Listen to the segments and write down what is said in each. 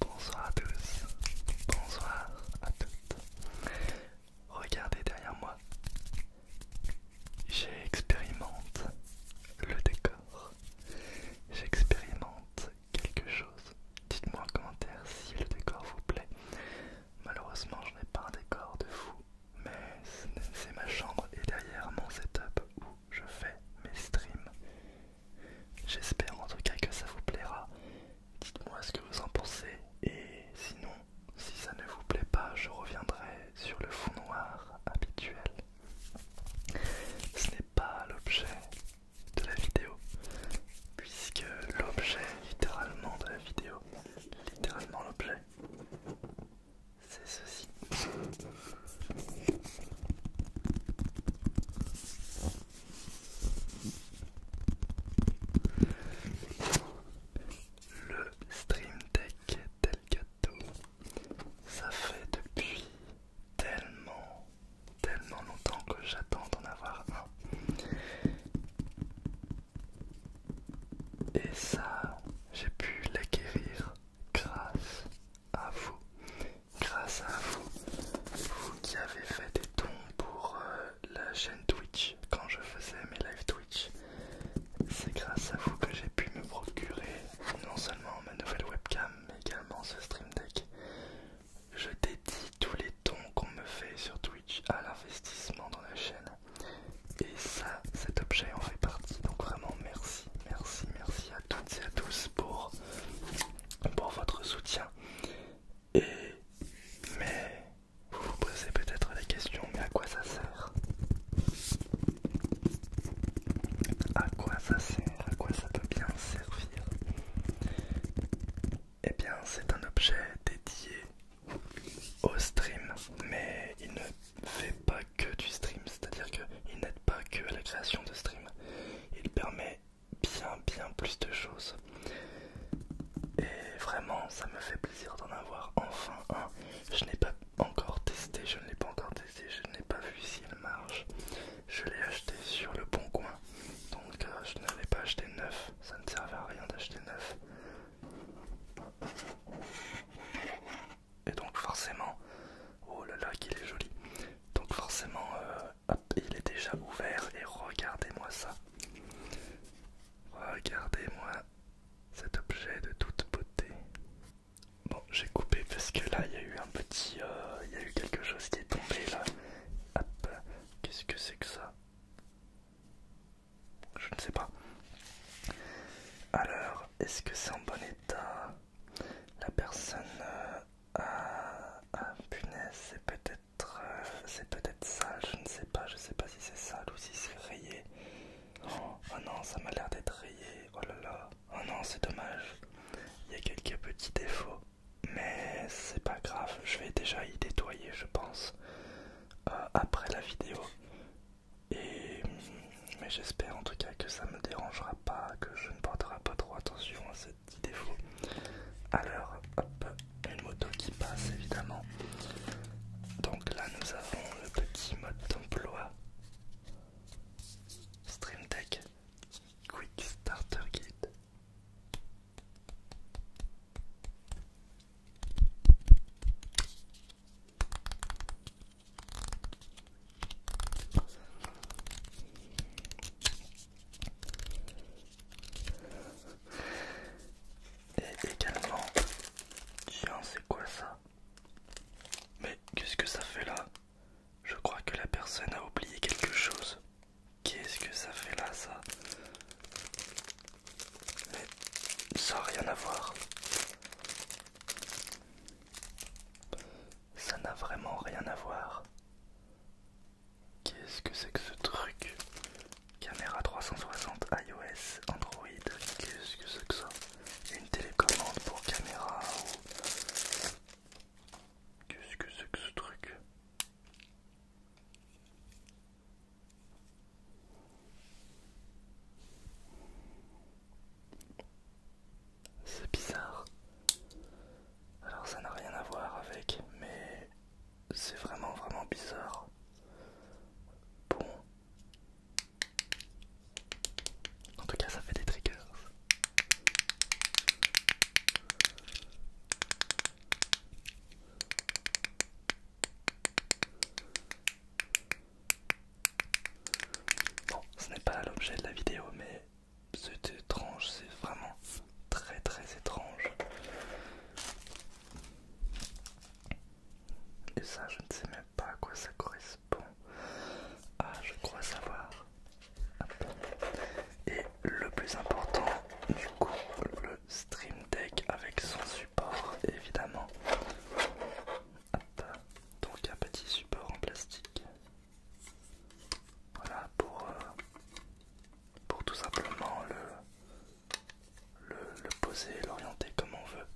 Bonsoir à tous, bonsoir à toutes. Regardez derrière moi, j'expérimente le décor, j'expérimente quelque chose Dites-moi en commentaire si le décor vous plaît. Malheureusement, je n'ai pas un décor de fou, mais c'est ma chambre et derrière mon setup où je fais mes streams. J'espère en tout cas que ça vous plaira. Dites-moi ce que vous en pensez et sinon, si ça ne vous plaît pas, je reviendrai sur le fond noir habituel. Ce n'est pas l'objet de la vidéo puisque l'objet littéralement de la vidéo littéralement l'objet c'est ceci le stream deck delgato ça fait depuis tellement, tellement longtemps que j'attends d'en avoir un. Et ça, j'ai pu l'acquérir grâce à vous. Grâce à vous, vous qui avez fait des dons pour euh, la chaîne Twitch quand je faisais mes live Twitch. C'est grâce à vous que j'ai pu me procurer non seulement ma nouvelle webcam, également ce stream deck. Je dédie tous les dons qu'on me fait sur Twitch à l'investissement dans la chaîne. Et ça, cet objet en fait partie. Donc vraiment merci, merci, merci à toutes et à tous pour, pour votre soutien. Et mais vous vous posez peut-être la question, mais à quoi ça sert À quoi ça sert À quoi ça peut bien servir et eh bien, c'est un objet dédié au stream, mais il ne fait pas que du stream, c'est-à-dire qu'il n'aide pas que la création de stream. Il permet bien, bien plus de choses. Et vraiment, ça me fait plaisir d'en avoir enfin un. Je n'ai pas encore testé, je ne l'ai pas encore testé, je n'ai pas vu si s'il marche. Je l'ai acheté sur le bon coin, donc euh, je ne pas acheté neuf, ça ne servait à rien d'acheter neuf. Et donc forcément, oh là là qu'il est joli, donc forcément euh, il est déjà ouvert et regardez-moi ça. Regardez-moi cet objet de toute beauté. Bon, j'ai coupé parce que là, il y a eu un petit... Euh, il y a eu quelque chose qui est tombé là. Hop, qu'est-ce que c'est que ça Je ne sais pas. Alors, est-ce que c'est en bon état La personne... Euh, a ah, punaise, c'est peut-être euh, c'est peut-être sale, je ne sais pas, je sais pas si c'est sale ou si c'est rayé. oh, oh non, ça m'a l'air d'être rayé, oh là là. Oh non, c'est dommage. Il y a quelques petits défauts, mais c'est pas grave. Je vais déjà y nettoyer, je pense, euh, après la vidéo. Et mais j'espère en tout cas que ça me dérangera pas, que je ne porterai pas trop attention à ces petits défauts. Alors, hop, une moto qui passe évidemment. Donc là, nous avons le petit mode d'emploi. Stream Quick Starter Guide. Et également, tiens, c'est quoi ça? Mais qu'est-ce que ça fait là? Je crois que la personne a oublié quelque chose. Qu'est-ce que ça fait là, ça Mais ça n'a rien à voir. Ça n'a vraiment rien à voir. Qu'est-ce que c'est que ce truc Caméra 360 iOS Android. Qu'est-ce que c'est que ça Une télécommande pour caméra ou... Qu'est-ce que c'est que ce truc C'est bizarre. Alors ça n'a rien à voir avec, mais c'est vraiment vraiment bizarre. Bon. En tout cas, ça fait des triggers. Bon, ce n'est pas l'objet de la vidéo, mais c'est étrange, c'est vraiment très très étrange. Et ça, je ne sais même pas à quoi ça correspond. Ah, je crois savoir. Et le plus important, du coup, le Stream Deck avec son support, évidemment. Donc un petit support en plastique. Voilà pour, euh, pour tout simplement le, le, poser, l'orienter comme on veut.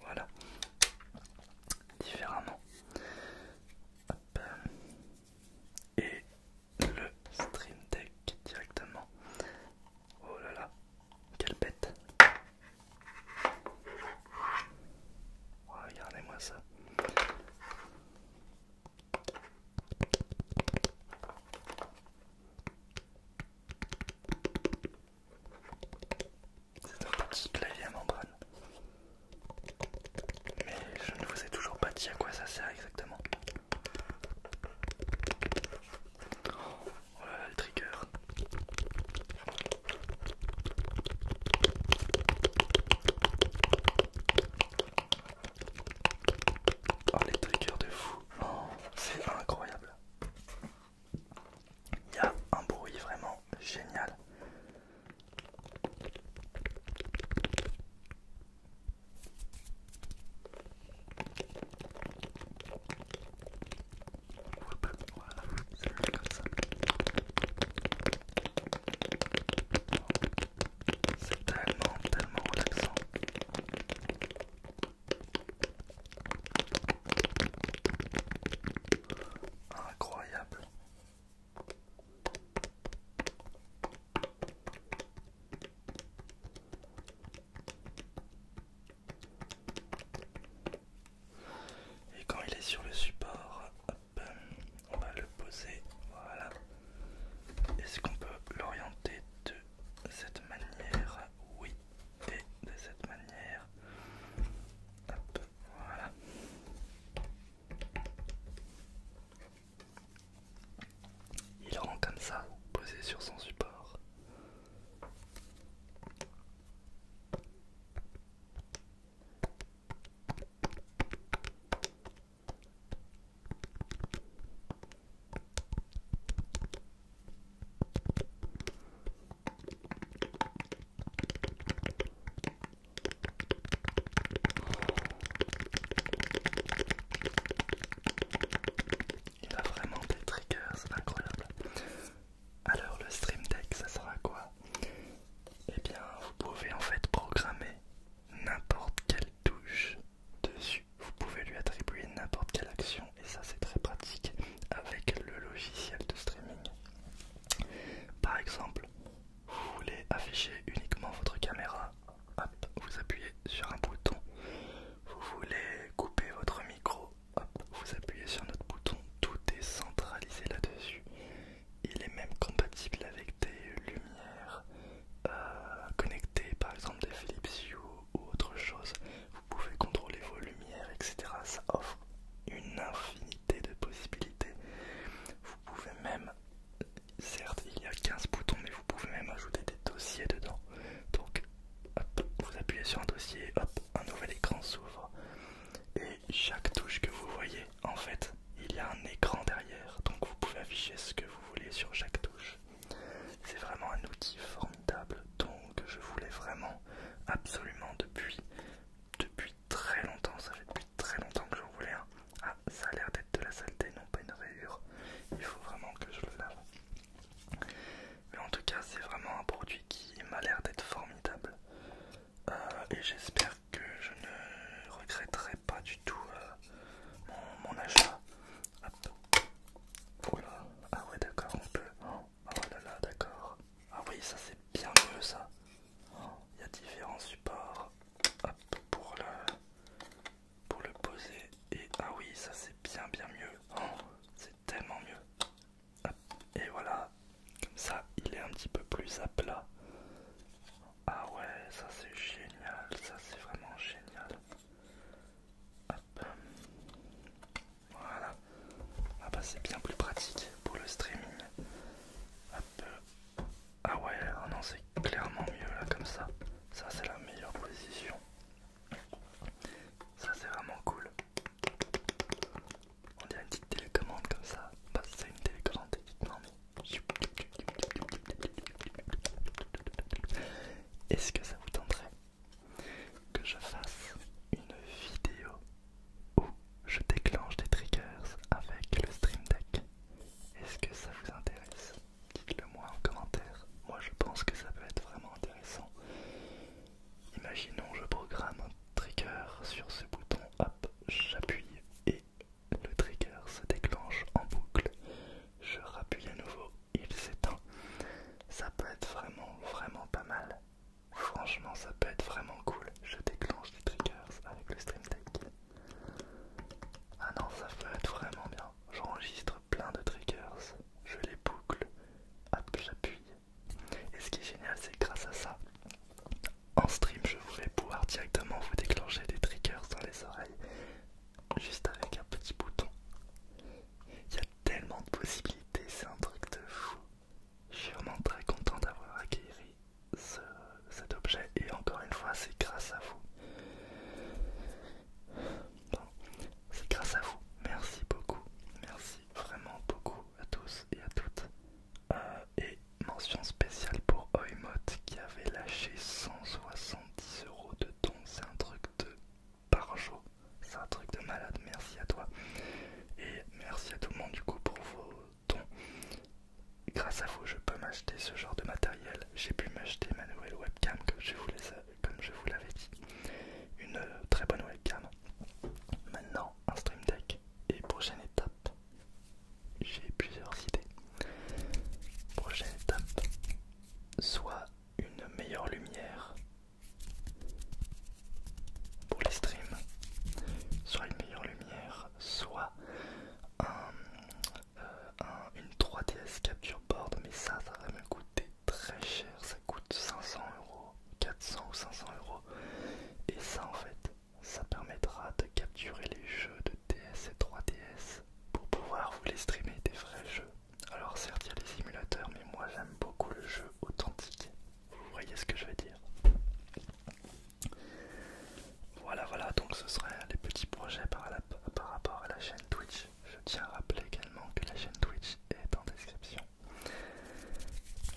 Voilà, différemment. Et le stream deck directement. Oh là là, quelle bête! Oh, regardez-moi ça. C'est un petit clavier à membrane. Mais je ne vous ai toujours pas dit à quoi ça sert exactement. Oh le trigger. Oh, les triggers de fou. Oh, c'est incroyable. Il y a un bruit vraiment génial. C'est tellement, tellement relaxant. Incroyable. Et quand il est sur le support, on va le poser. Voilà. Est-ce qu'on peut l'orienter de cette manière. Oui, et de cette manière. voilà. Il rend comme ça, posé sur son support. Il a vraiment des triggers c'est incroyable. Alors le stream deck ça sera quoi Eh bien vous pouvez en fait programmer n'importe quelle touche dessus, vous pouvez lui attribuer n'importe quelle action et ça c'est très pratique avec le logiciel de streaming. Par exemple, vous voulez afficher uniquement votre caméra, hop, vous appuyez sur un bouton. Vous voulez couper votre micro, hop, vous appuyez sur notre bouton. Tout est centralisé là-dessus. Il est même compatible avec des lumières euh, connectées par exemple des Philips Hue ou autre chose, vous pouvez contrôler vos lumières, etc. Ça offre une infinité de possibilités. Vous pouvez même, certes il y a 15 boutons, mais vous pouvez même ajouter des dossiers dedans. Donc hop, vous appuyez sur un dossier, hop, un nouvel écran s'ouvre. Et chaque touche que vous voyez, en fait, il y a un écran derrière. Donc vous pouvez afficher ce que vous voulez sur chaque touche. C'est vraiment un outil formidable donc je voulais vraiment absolument depuis très longtemps. Ça fait depuis très longtemps que je voulais Ah, ça a l'air d'être de la saleté, non pas une rayure. Il faut vraiment que je le lave. Mais en tout cas, c'est vraiment un produit qui m'a l'air d'être formidable. Euh, et j'espère que je ne regretterai pas du tout euh, mon achat. Voilà. Ah ouais d'accord, on peut. oh là là, d'accord. Ah oui, ça c'est bien mieux ça. Il y a différents supports. pour le pour le poser. Et ah oui, ça c'est bien bien mieux. Oh, c'est tellement mieux. Et voilà. Comme ça, il est un petit peu plus à plat. Ah ouais, ça c'est génial, ça c'est vraiment génial. Voilà. Ah bah c'est bien plus pratique pour le streaming. Ah ouais, ah non c'est clairement mieux là comme ça. Ça c'est la meilleure position. Ça c'est vraiment cool. On dirait une petite télécommande comme ça. Bah c'est une télécommande non Est-ce que ça vous tenterait que je fasse une vidéo où je déclenche des triggers avec le Stream Deck. Est-ce que ça vous intéresse Dites-le moi en commentaire. Moi je pense que ça peut être vraiment intéressant. Imaginons je programme un trigger sur ce bouton, hop, j'appuie et le trigger se déclenche en boucle je rappuie à nouveau, il s'éteint. Ça peut être vraiment, vraiment pas mal. Franchement, ça peut être vraiment cool. Je déclenche des triggers avec le stream Tech. Ah non, ça peut être vraiment bien. J'enregistre plein de triggers, je les boucle, hop, j'appuie. Et ce qui est génial, c'est grâce à ça, en stream, je vais pouvoir directement vous déclencher des triggers dans les oreilles, juste avec un petit bouton. Il y a tellement de possibilités, c'est un truc de fou. Je suis vraiment très content d'avoir acquéri cet objet et encore une fois c'est grâce à vous. C'est grâce à vous. Merci beaucoup. Merci vraiment beaucoup à tous et à toutes. Euh, et mention spéciale pour Oimot qui avait lâché 170 euros de dons. C'est un truc de par jour. C'est un truc de malade, merci à toi. Et merci à tout le monde du coup pour vos dons. Grâce à vous, je peux m'acheter ce genre de matériel. J'ai pu m'acheter ma nouvelle webcam comme je vous l'avais dit. Une euh, très bonne webcam. Maintenant, un stream deck. Et prochaine étape, j'ai plusieurs idées. Prochaine étape, soit une meilleure lumière pour les streams, soit une meilleure lumière, soit un, euh, une 3DS capture board, mais ça, ça va me coûter très cher, ça coûte 500 euros, 400 ou 500 euros, et ça en fait, ça permettra de capturer les jeux de DS et 3DS pour pouvoir vous les streamer des vrais jeux alors certes, il y a les simulateurs, mais moi j'aime beaucoup le jeu authentique. Vous voyez ce que je veux dire Voilà, voilà, donc ce seraient les petits projets par, par rapport à la chaîne Twitch. Je tiens à rappeler également que la chaîne Twitch est en description.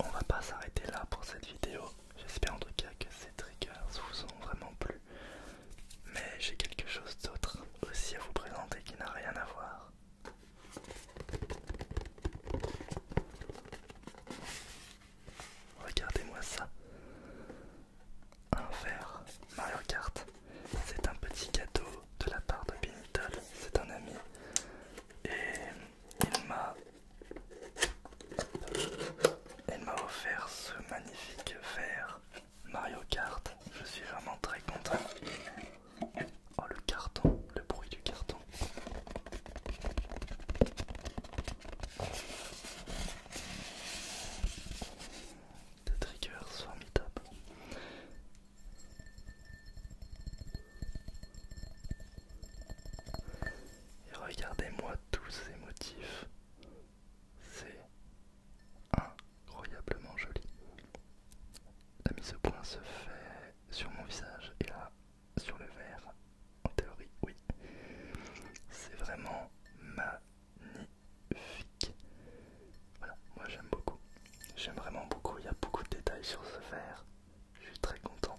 On va pas s'arrêter là pour cette vidéo. J'espère en tout cas que ces triggers vous ont vraiment plu. Mais j'ai quelque chose d'autre aussi à vous présenter qui n'a rien à voir. Regardez-moi ça. Un verre Mario Kart. C'est un petit cadeau de la part de Benitol. C'est un ami. Et il m'a... Il m'a offert ce magnifique verre Mario Kart, je suis vraiment très content. Oh le carton, le bruit du carton. Des triggers formidables. Et regardez-moi tous ces motifs. C'est Un incroyablement joli La mise au point se fait sur mon visage et là sur le verre, en théorie, oui. C'est vraiment magnifique. Voilà, moi j'aime beaucoup. J'aime vraiment beaucoup, il y a beaucoup de détails sur ce verre. Je suis très content.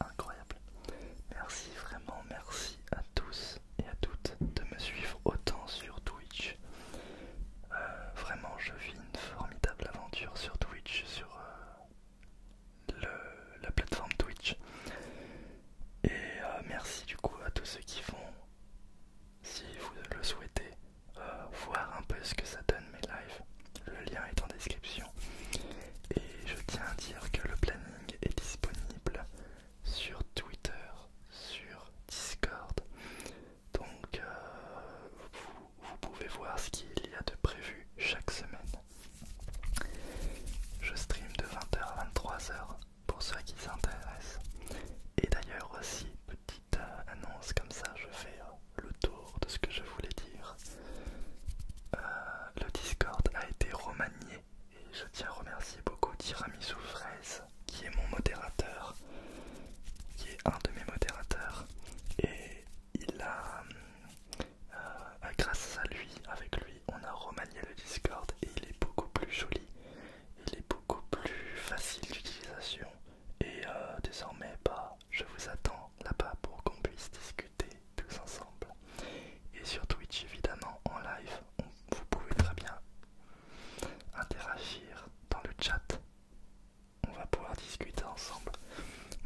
Incroyable. Merci vraiment, merci à tous et à toutes de me suivre autant sur Twitch. Euh, vraiment, je vis une formidable aventure sur Twitch, sur, euh, le, la plateforme Twitch. Et euh, merci du coup à tous ceux qui font, si vous le souhaitez, euh, voir un peu ce que ça donne mes lives. Le lien est en description. Et je tiens à dire que le planning est disponible sur Twitter, sur Discord. Donc euh, vous pouvez voir ce qu'il y a de prévu chaque semaine. Je stream de 20h à 23h pour ceux qui s'intéressent. Et d'ailleurs aussi, petite euh, annonce comme ça, je fais euh, le tour de ce que je voulais dire. Euh, le Discord a été remanié et je tiens à remercier beaucoup Tiramisu Fraise qui est mon modérateur, qui est un de mes modérateurs. Et il a, hum, euh, grâce à lui, avec lui, on a remanié le Discord et il est beaucoup plus joli, il est beaucoup plus facile d'utilisation et euh, désormais bah, je vous attends là-bas pour qu'on puisse discuter tous ensemble. Et sur Twitch évidemment en live, vous pouvez très bien interagir dans le chat. On va pouvoir discuter ensemble.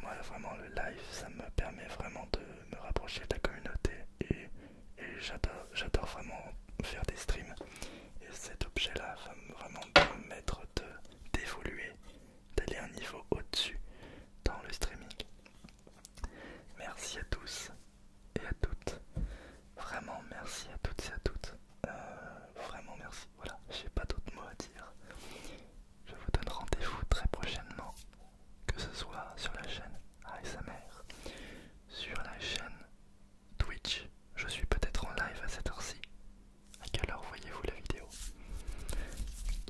Moi, vraiment, le live, ça me permet vraiment de me rapprocher de la communauté et et j'adore vraiment faire des streams et cet objet là va vraiment me permettre d'évoluer d'aller un niveau au dessus dans le streaming merci à tous et à toutes vraiment merci à toutes et à toutes euh, vraiment merci voilà j'ai pas d'autres mots à dire je vous donne rendez-vous très prochainement que ce soit sur la chaîne ASMR, sur la chaîne Twitch. Je suis peut-être en live à cette heure-ci. À quelle heure voyez-vous la vidéo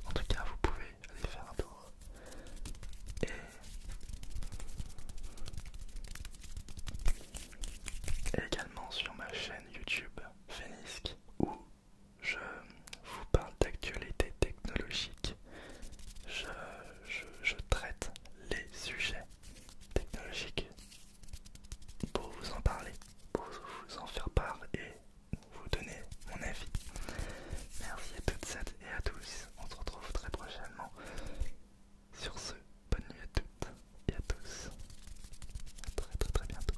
En tout cas, vous pouvez aller faire un tour. Et également sur ma chaîne YouTube Fenisk où je vous parle d'actualités technologiques je, traite les sujets technologiques pour vous en parler, pour vous en faire part et vous donner mon avis. Merci à toutes et à tous. On se retrouve très prochainement. Sur ce, bonne nuit à toutes et à tous. À très très bientôt.